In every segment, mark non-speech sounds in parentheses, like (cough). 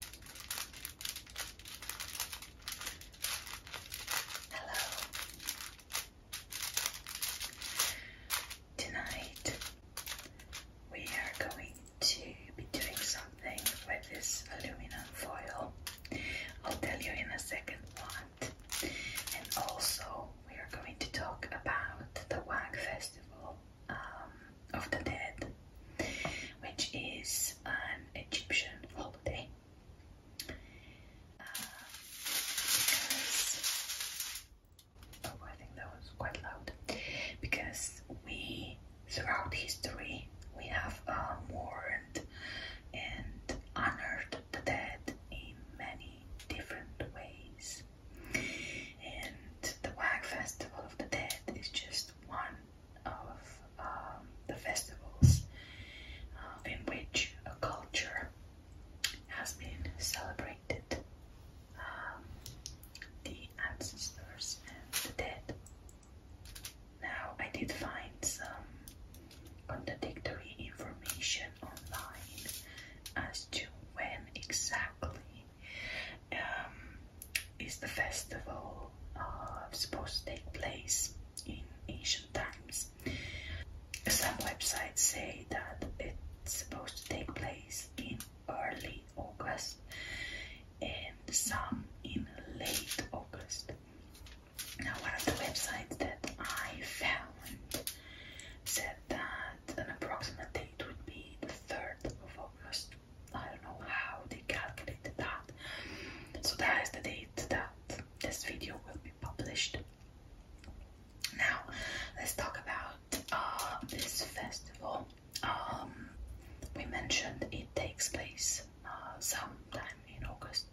Hello. Tonight we are going to be doing something with this aluminum foil. I'll tell you in a second what. And also we are going to talk about the WAG festival. Um, of the Dead, which is an Egyptian holiday. Uh, because, oh, I think that was quite loud. Because we, throughout history, we have mourned um, and honored the dead in many different ways. And the Wag Festival of the Dead is just one of um, the festivals um, in which a culture has been celebrated. Um, the ancestors and the dead. Now, I did find some contradictory information online as to when exactly is the festival supposed to take place in ancient times. Some websites say that it's supposed to take place in early August and some in late August. Now, one of the websites that I found said that an approximate date would be the 3rd of August. I don't know how they calculated that. So that is the date that this video will be published. Now, let's talk about uh, this festival. Um, we mentioned it takes place uh, sometime in August,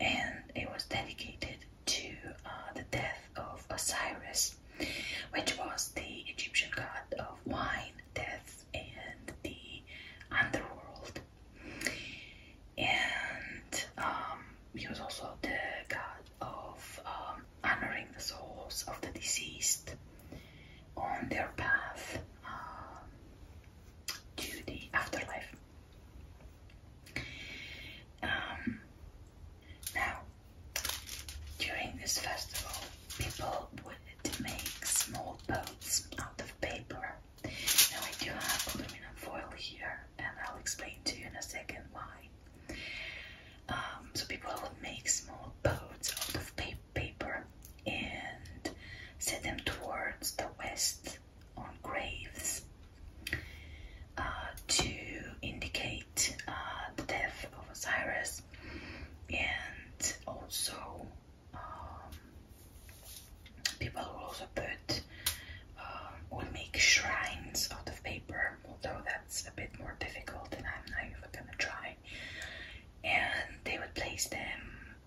and it was dedicated to uh, the death of Osiris, which was the Egyptian god of wine, death, and the underworld. And um, he was also the god of um, honoring the souls of the deceased on their path um, to the afterlife. now, during this festival, people would make small boats out of paper. Now I do have aluminum foil here, and I'll explain to you in a second why. Um, so people would make small boats out of paper and set them towards the west on graves uh, to indicate uh, the death of Osiris and also um, people will also put um, make shrines out of paper although that's a bit more difficult and I'm not even gonna try and they would place them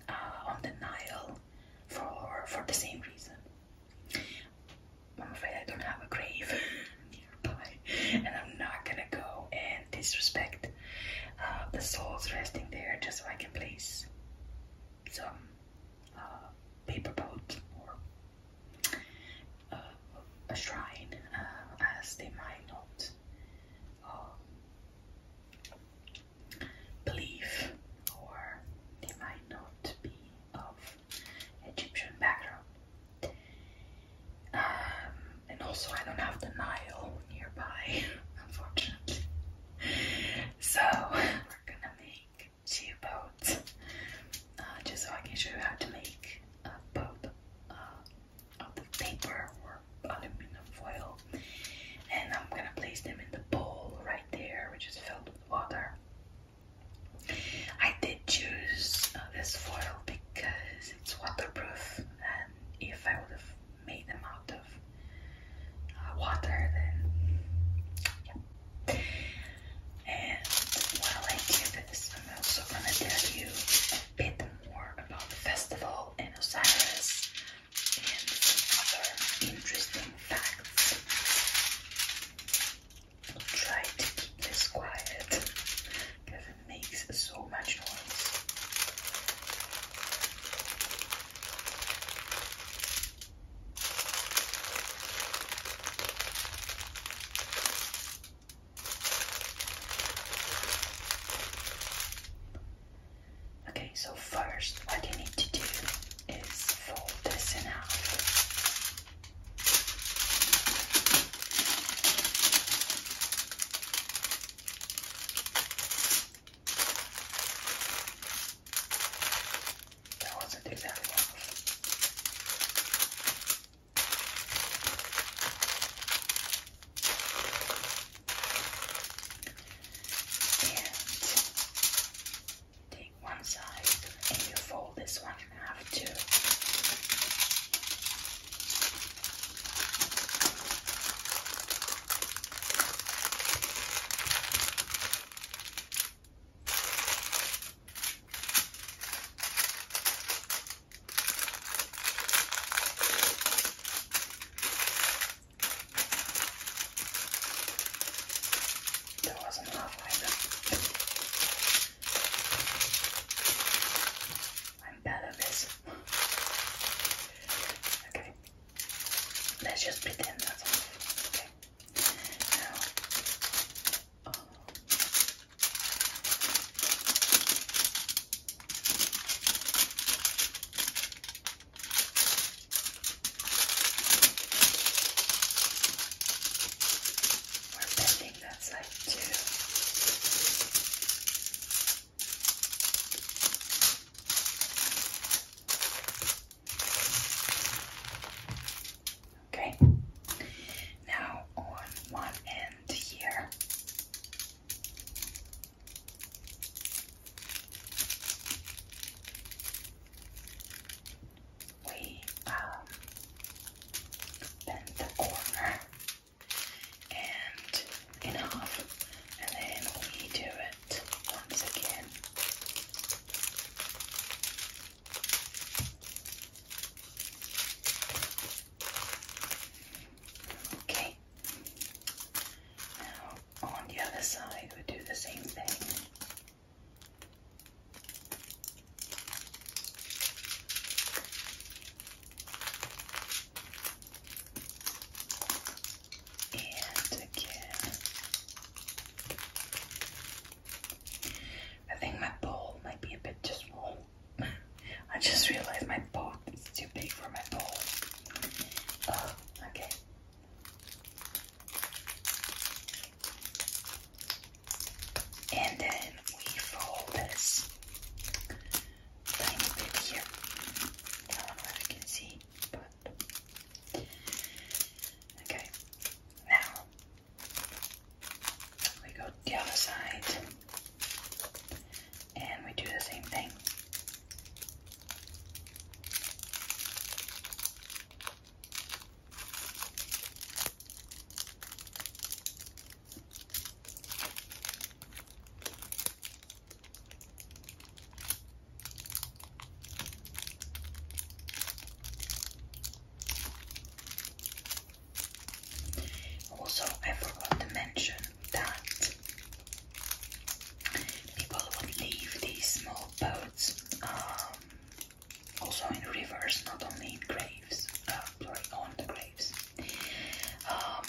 uh, on the Nile for for the same reason I'm afraid I don't have a grave (laughs) nearby and I'm not gonna go and disrespect uh, the souls resting there just so I can place some uh, paper boat or uh, a shrine as they might not um, believe or they might not be of Egyptian background. Um, and also I don't have the Nile nearby, (laughs) unfortunately. So we're gonna make two boats, uh, just so I can show you how to make a boat uh, of the paper or aluminum foil. And I'm gonna place them in the bowl right there, which is filled with water. I did choose uh, this foil because it's waterproof, and if I would have made them out of uh, water and while I do this I'm also gonna tell you a bit more about the festival and Osiris and some other interesting facts try to keep this quiet because so much noise. Okay, so first, what you need to do is fold this in half. That wasn't exactly long. And take one side and you fold this one in half too. That wasn't enough either. I'm better with Okay, let's just pretend that's off. Okay, now. Oh. We're bending that side too. Okay, now on one end here. We um, bend the corner and in half, and then we do it once again. Okay, now on the other side, we do the same thing. And again, I think my bowl might be a bit just (laughs) wrong. I just realized my pot is too big for my bowl. Oh, okay. And then we fold this tiny bit here. I don't you can see, okay. Now we go the other side and we do the same thing. Also, I forgot to mention that people would leave these small boats um, also in rivers, not only in graves, uh, sorry, on the graves. Um,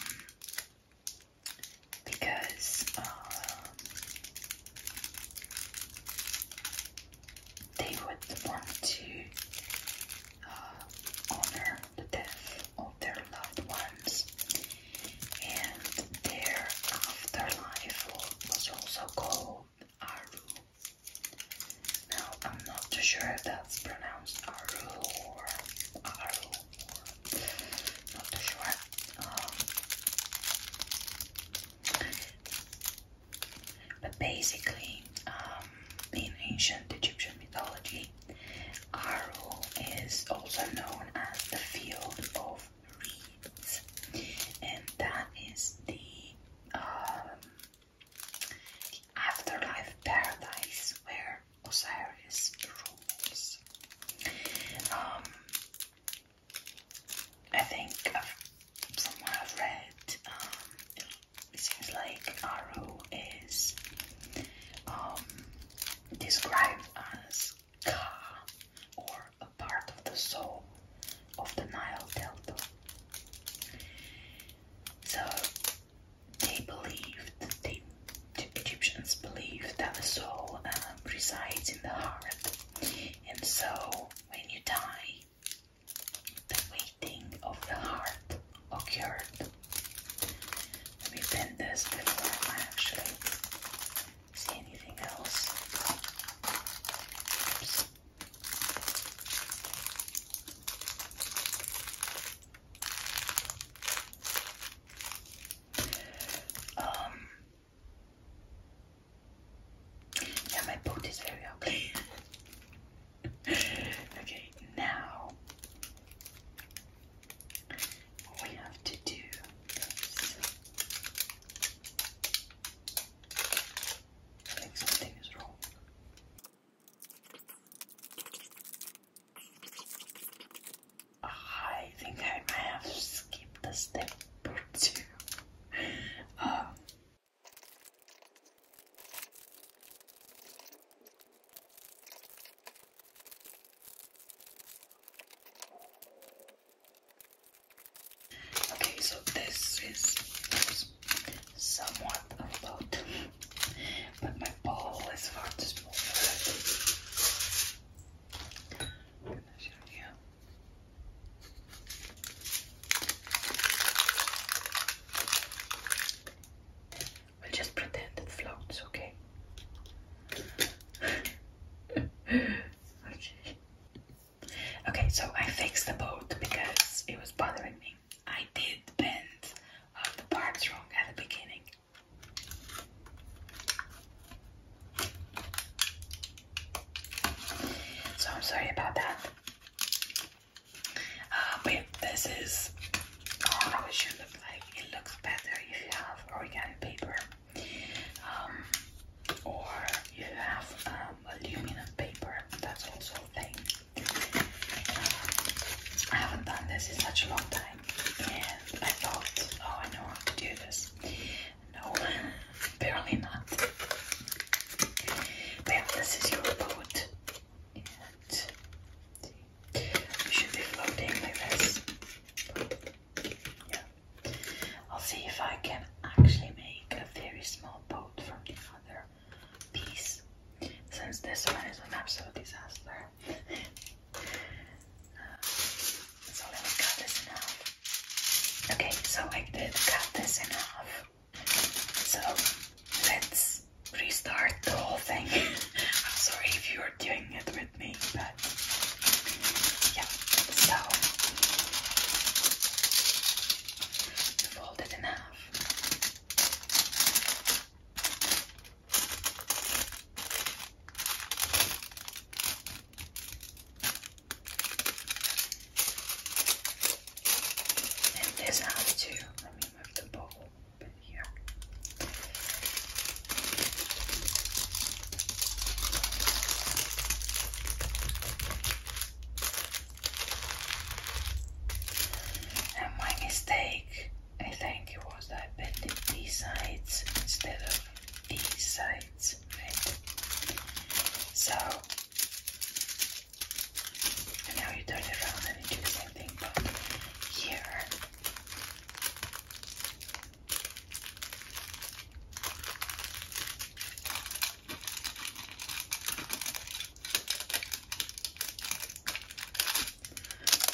because um, they would want to uh, honor the death of their loved ones, and their afterlife was also called Aru. Now, I'm not too sure if that's pronounced Aru or Aru. Um, um, but basically, um, in ancient Egyptian mythology, Aru is also known as the field of reeds, and that is the afterlife paradise where Osiris rules. Um, I think I've, I've read, um, it, seems like Aru is um, described as Ka, or a part of the soul of the Nile Delta. So they believed, the Egyptians believed that the soul um, resides in the heart. And so when you die, the waiting of the heart occurred. Let me done this before, I actually see anything else. Um, yeah, my boat is very (laughs) okay, now we have to do something is wrong. I think I might have skipped a step or two. Um, okay, so this is somewhat about but my bowl is far too small I'm gonna show you. We'll just pretend it floats, okay? okay. (laughs) Okay, so I fixed the boat because it was bothering me. I did bend uh, the parts wrong at the beginning. So I'm sorry about that. but uh, this is oh, how it should look like. It looks better if you have organic paper um, or you have um, aluminum paper. That's also a I haven't done this in such a long time and I thought, oh, I know how to do this. No, apparently not. this is your boat, and should be floating like this. I'll see if I can actually make a very small boat from the other piece, since this one is an absolute disaster so let me cut this in half. Okay, so I did cut this in half. So let's restart the whole thing. (laughs) I'm sorry if you're doing it with me, but yeah. So fold it in half. And this has to, let me move the bowl here. And my mistake I think it was that I bent it these sides instead of these sides, right? So, and now you turn it around and you do the same thing, but here.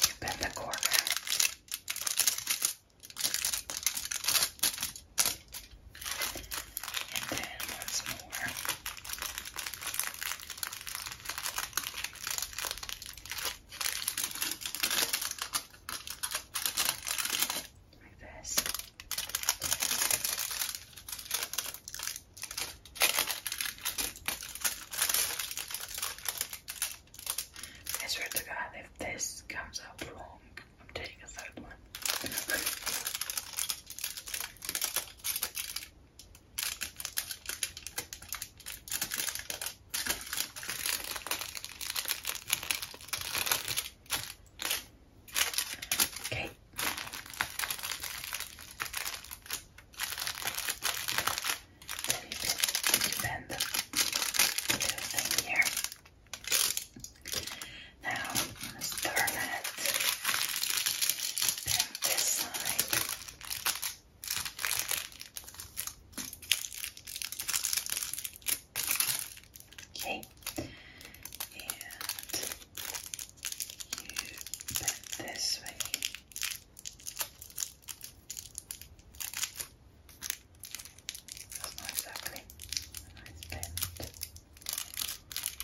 You bend the corner and then once more. Like this. I swear to God, if this comes out wrong, I'm taking a third one. okay. Maybe bend the little thing here. Now let's turn it. Then this side. Okay. And you bend this way. That's nice actually. nice bend.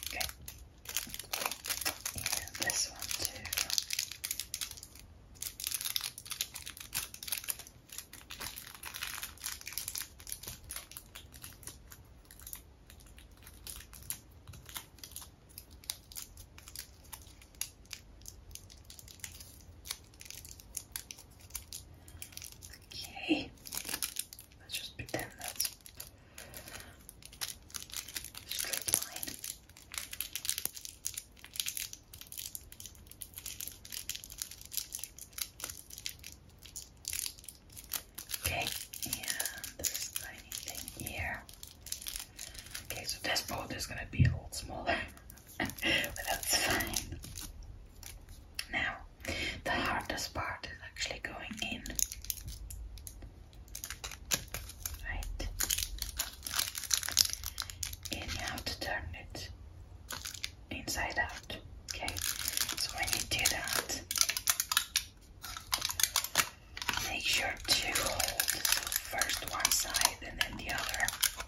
Okay. And this one too. Okay. Let's just pretend that's straight line. Okay, and this tiny thing here. Okay, so this boat is gonna be a little smaller that's fine. Now, the hardest part is actually going in. Right. And you have to turn it inside out. Okay. So when you do that, make sure to hold first one side and then the other.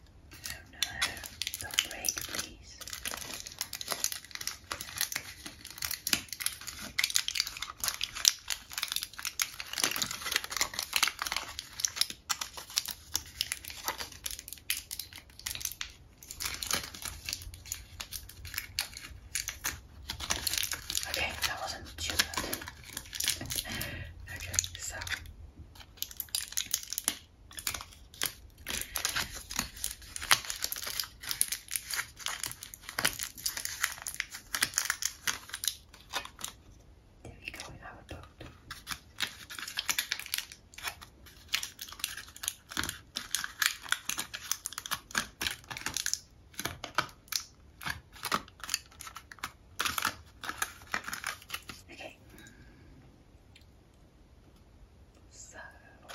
Oh no, don't break, please. Okay, that wasn't too bad. (laughs) okay, so there you go, we have a boat. Okay. So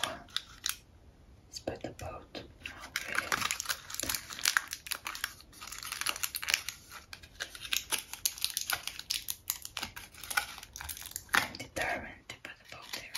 let's the boat I'm determined to put the boat there.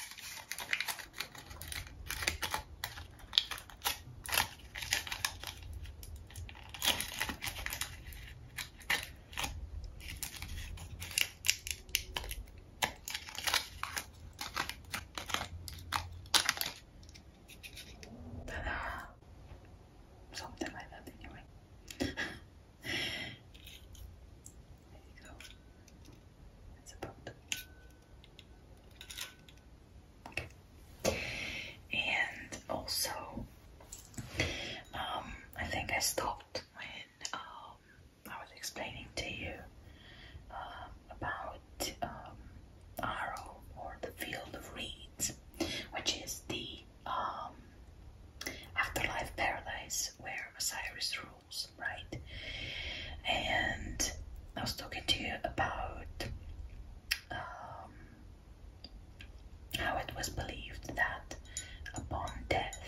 Ta-da! Something like that anyway. there you go. It's a Okay. And also, um, I think I stopped my um, I was explaining to you um, about um, or the Field of Reeds, which is the um, afterlife paradise where Osiris rules, right? And I was talking to you about how it was believed that upon death,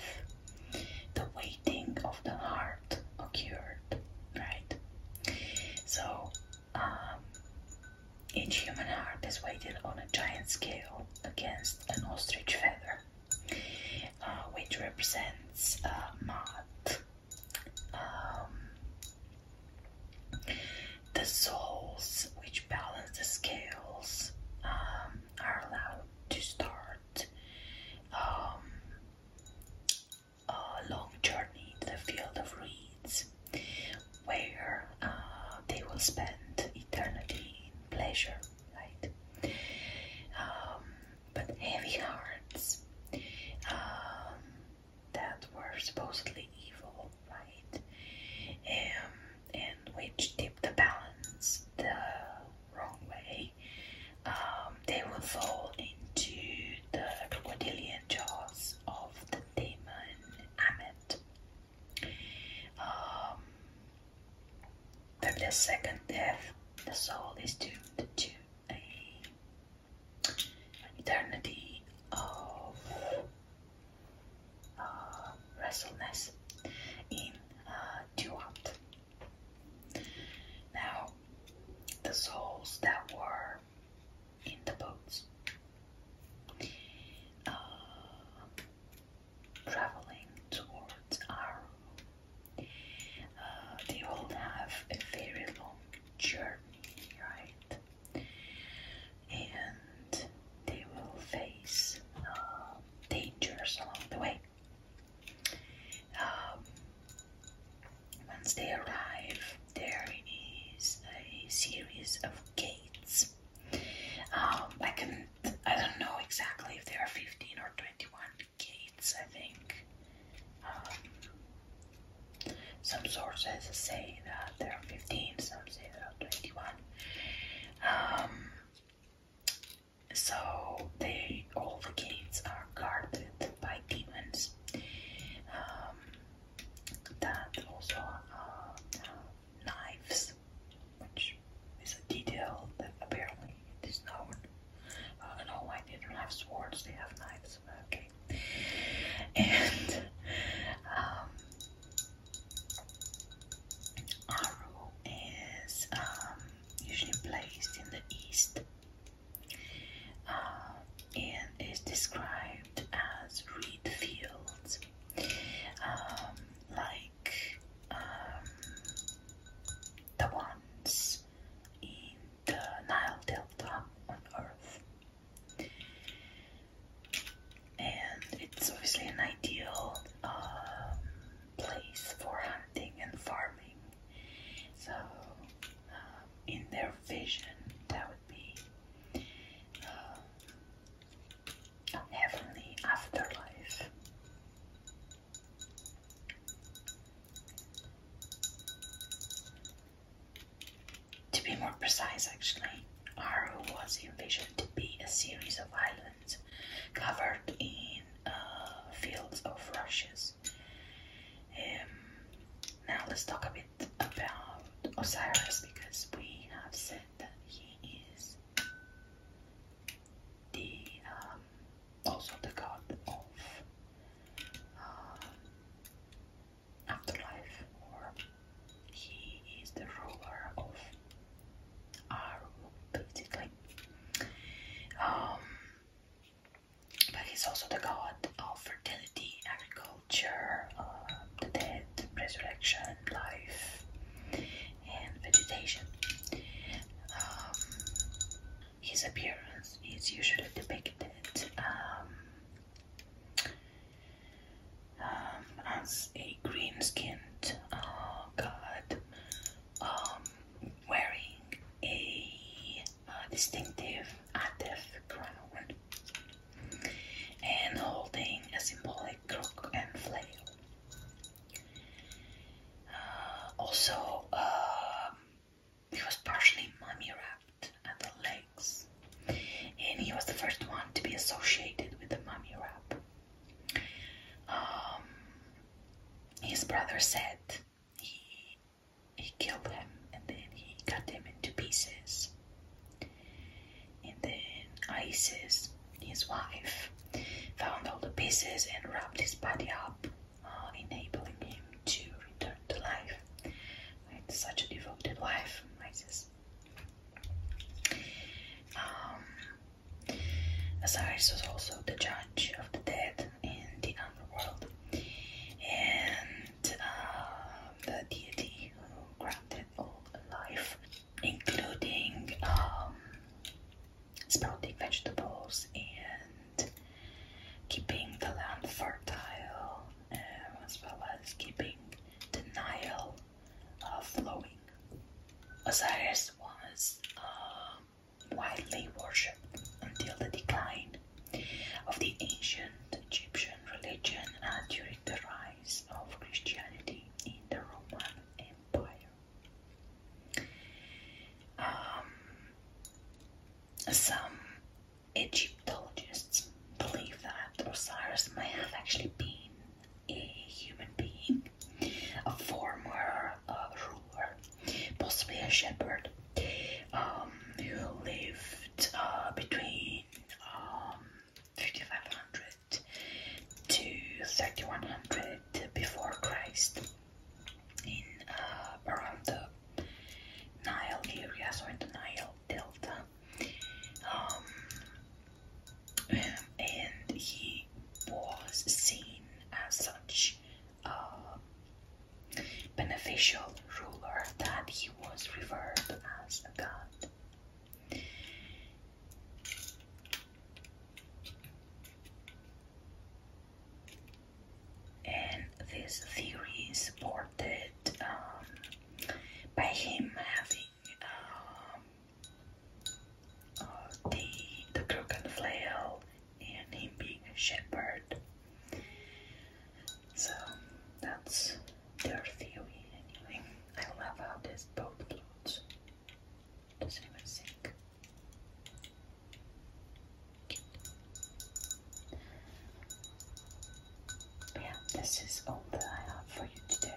the waiting of the heart occurred, right? So, um, each human heart is weighted on a giant scale against an ostrich feather, uh, which represents uh, Maat, um, the souls which balance the scales um, are allowed to start um, a long journey into the field of reeds, where uh, they will spend eternity in pleasure, right? Um, but heavy hearts um, that were supposedly evil, right? Um, and which tip the balance the wrong way, um, they will fall into the crocodilian jaws of the demon Amet. Um, the second death, the soul is doomed to an eternity of uh, in uh, Now, the souls that were in the boats uh, traveling towards Aru, uh, they will have a very long journey, right? And they will face uh, dangers along the way. Um, once they arrive, there is a series of gates. Um, I can I don't know exactly if there are 15 or 21 gates, I think. Um, some sources say that there are 15, some say there are 21. So they all the gates are guarded by demons. Um, that also uh, knives, which is a detail that apparently it is known. And uh, all why they don't have swords; they have knives. Okay, and um, Aru is um, usually placed in the east uh, and is described as reed fields, um, like um, the ones in the Nile Delta on Earth. And it's obviously an ideal place for hunting and farming. So, um, in their vision, that would be um, a heavenly afterlife. To be more precise, actually, Aru was envisioned to be a series of islands covered in uh, fields of rushes. Um, now let's talk a bit about Osiris because we have said that he is the um, also the god of uh, afterlife, or he is the ruler of are basically. Um, but he's also the god of fertility, agriculture, uh, the dead, resurrection, life, and vegetation. Um, his appearance is usually depicted as a green skinned uh, god um, wearing a uh, distinctive Atef and holding a symbolic crook and flail. Uh, also, um, he was partially mummy wrapped at the legs, and he was the first one to be associated with the mummy wrap. Um, his brother said he he killed him and then he cut him into pieces. And then Isis, his wife, found all the pieces and wrapped his body up, uh, enabling him to return to life. It's such a devoted wife, Isis. Um, Osiris was also the judge of the dead in the underworld and um, the deity who granted all life, including um, sprouting vegetables and keeping the land fertile, um, as well as keeping the Nile uh, Osiris was um, widely worshipped until the decline of the ancient Egyptian religion and uh, during the rise of Christianity in the Roman Empire. Um, some Egyptologists believe that Osiris may have actually been a human being, a former uh, ruler, possibly a shepherd, um, who lived uh, between um, 5500 to 3100 before Christ in uh, around the Nile area, so in the Nile Delta. Um, um, and he was seen as such a beneficial ruler that he was revered as a god. And this theory is supported um, by him having um, uh, the the crook and flail and him being a shepherd. So that's their theory anyway. I love how this boat floats. Does anyone sink? Yeah, this is all that I have for you today.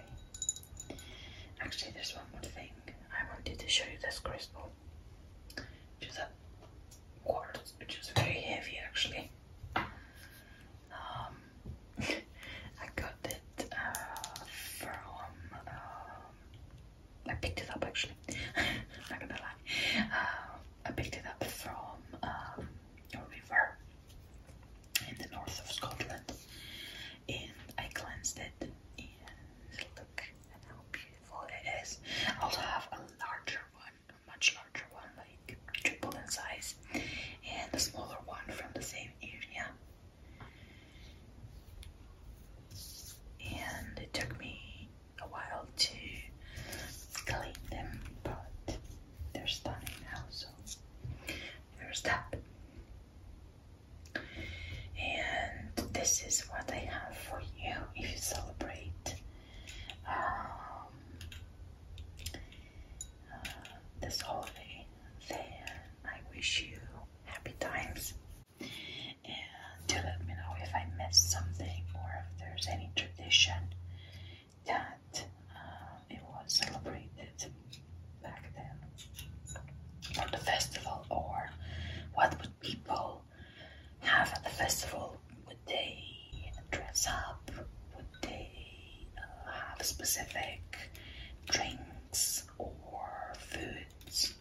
Actually, there's one more thing. I wanted to show you this crystal, which is a quartz, which is very heavy actually. Um, (laughs) I got it uh, from. Um, I picked it up actually. i (laughs) gonna lie. Uh, I picked it up from um, a river in the north of Scotland, and I cleansed it look how beautiful it is. also have a larger one, a much larger one, like triple in size, and a smaller one from the same area. And it took me a while to clean them, but they're stunning now, so there's that. And this is what I have for you if you celebrate um, uh, this holiday. Then I wish you happy times. And to let me know if I missed something or if there's any tradition that uh, it was celebrated back then for the festival or what would people have at the festival would they dress up would they uh, have specific drinks or foods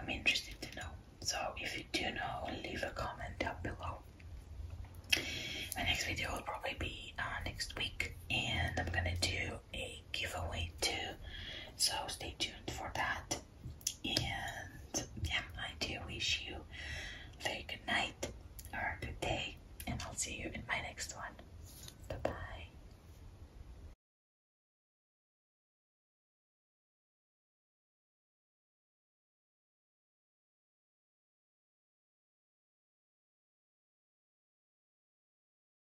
i'm interested to know so if you do know leave a comment down below my next video will probably be uh, next week and i'm gonna do a giveaway too, so stay tuned for that. And yeah, I do wish you a good night or a good day, and I'll see you in my next one. Bye bye.